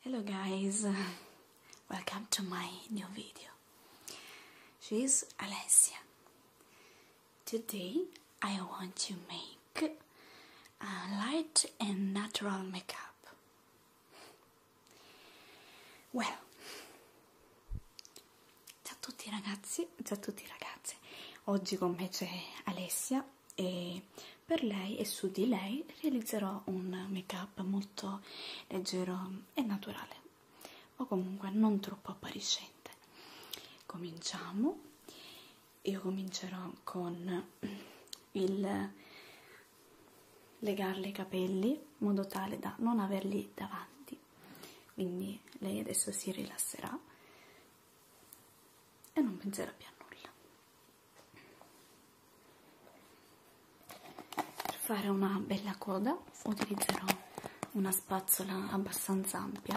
Hello guys, welcome to my new video. She is Alessia. Today I want to make a light and natural makeup. Well. Ciao a tutti ragazzi, ciao a tutti ragazze. Oggi con me c'è Alessia e per lei e su di lei realizzerò un make-up molto leggero e naturale, o comunque non troppo appariscente. Cominciamo io comincerò con il legarle i capelli in modo tale da non averli davanti quindi lei adesso si rilasserà e non penserà più a nulla per fare una bella coda utilizzerò una spazzola abbastanza ampia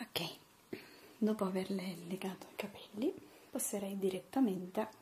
ok dopo averle legato i capelli passerei direttamente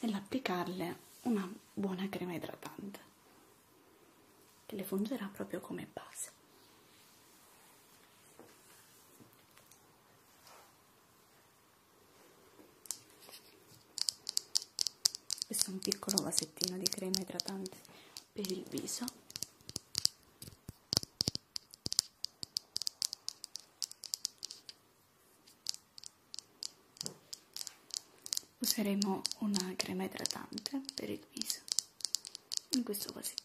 nell'applicarle una buona crema idratante che le fungerà proprio come base questo è un piccolo vasettino di crema idratante per il viso useremo una crema idratante per il viso in questo vasettino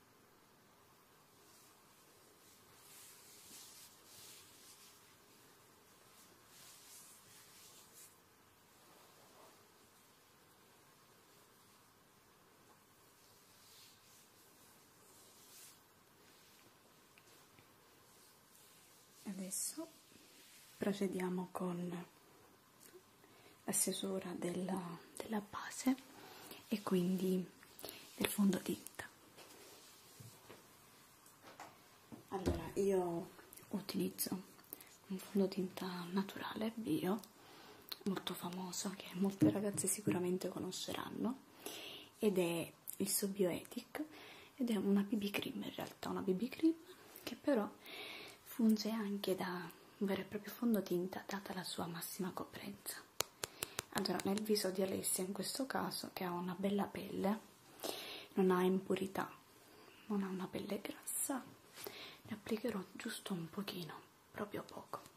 Adesso procediamo con la stesura della, della base e quindi del fondotinta allora io utilizzo un fondotinta naturale bio molto famoso che molte ragazze sicuramente conosceranno ed è il Sobioetic ed è una BB cream in realtà una BB cream che però funge anche da un vero e proprio fondotinta data la sua massima coprenza allora nel viso di Alessia in questo caso che ha una bella pelle non ha impurità non ha una pelle grassa ne applicherò giusto un pochino proprio poco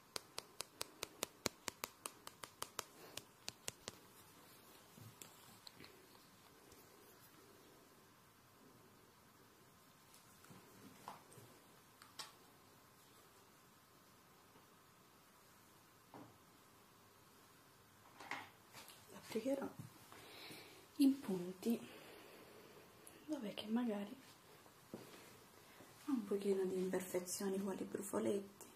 applicherò in punti dove che magari ho un pochino di imperfezioni quali brufoletti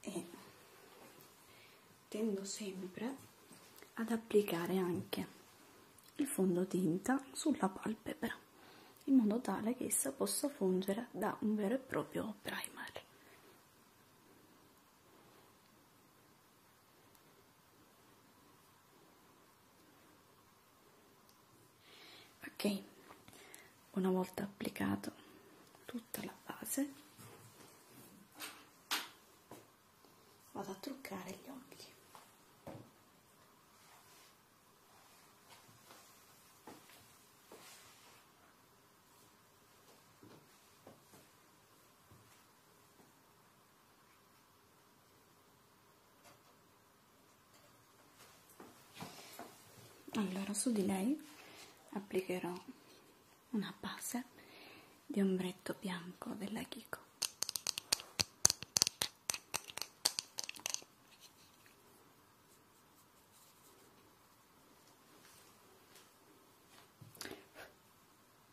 e tendo sempre ad applicare anche il fondotinta sulla palpebra in modo tale che essa possa fungere da un vero e proprio primer ok una volta applicato tutta la base vado a truccare gli occhi allora su di lei applicherò una base di ombretto bianco della Kiko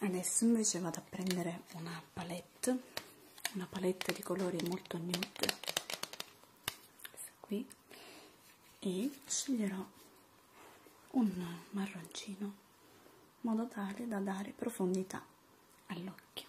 adesso invece vado a prendere una palette una palette di colori molto nude questa qui e sceglierò un marroncino in modo tale da dare profondità all'occhio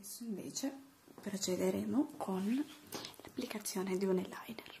Adesso invece procederemo con l'applicazione di un eyeliner.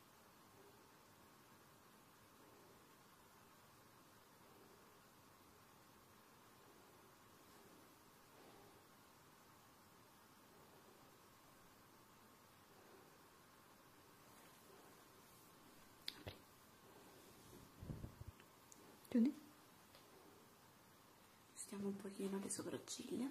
Apri. Chiudi. Stiamo un pochino le sopracciglia.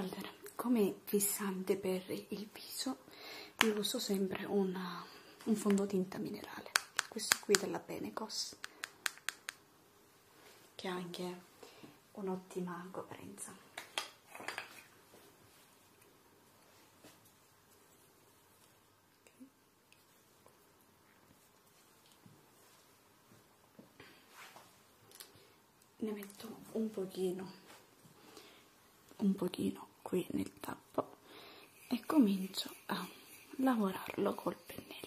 Allora, come fissante per il viso io uso sempre una, un fondotinta minerale questo qui della Benecos che ha anche un'ottima coprenza ne metto un pochino un pochino qui nel tappo e comincio a lavorarlo col pennello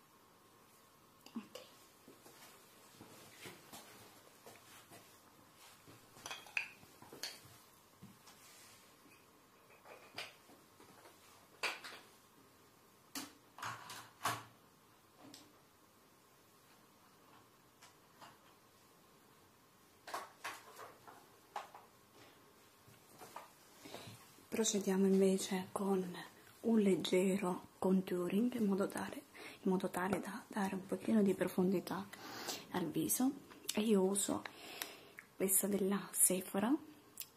ok procediamo invece con un leggero contouring in modo, tale, in modo tale da dare un pochino di profondità al viso e io uso questa della Sephora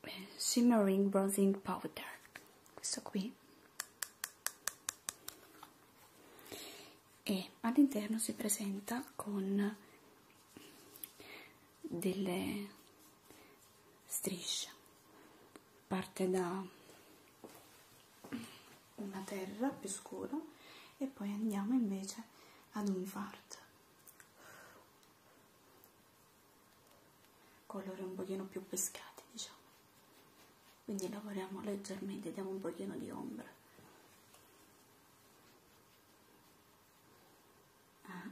eh, Shimmering Bronzing Powder questo qui e all'interno si presenta con delle striscia parte da una terra più scura e poi andiamo invece ad un verde colore un pochino più pescati diciamo quindi lavoriamo leggermente diamo un pochino di ombra ah,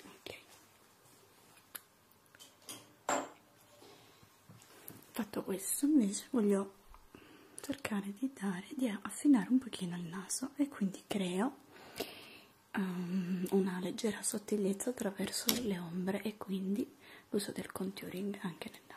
Ok, fatto questo invece voglio cercare di dare di affinare un pochino il naso e quindi creo um, una leggera sottigliezza attraverso le ombre e quindi l'uso del contouring anche nel naso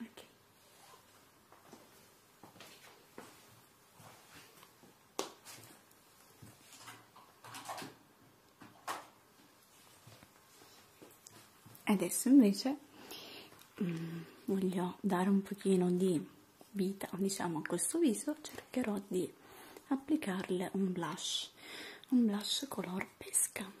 ok adesso invece mm, voglio dare un pochino di vita diciamo a questo viso cercherò di applicarle un blush un blush color pesca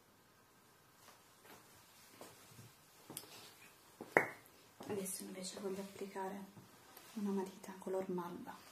adesso invece voglio applicare una matita color malva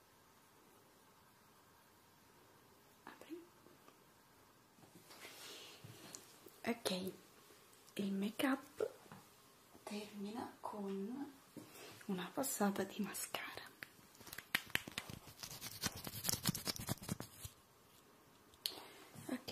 apri ok il make up termina con una passata di mascara ok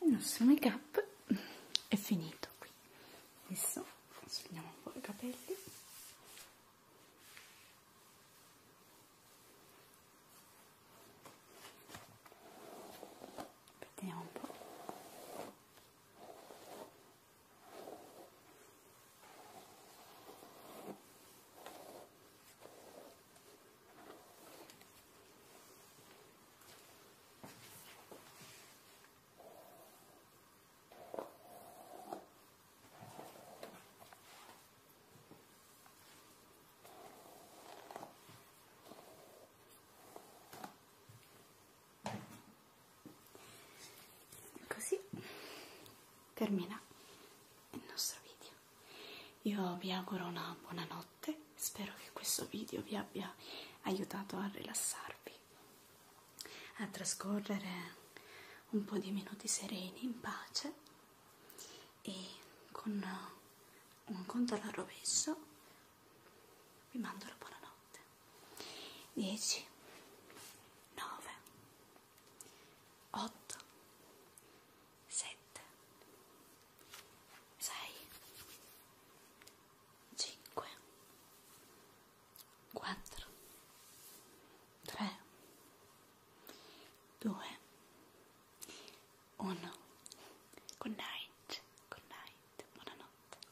il nostro make up è finito qui adesso sfiniamo un po' i capelli vediamo un po' Così termina il nostro video. Io vi auguro una buona notte spero che questo video vi abbia aiutato a rilassarvi, a trascorrere un po' di minuti sereni, in pace e con un conto alla rovescio vi mando la buonanotte. 10, 9, 8, 7, 6, 5 4 3 2 1 Good night, good night, buonanotte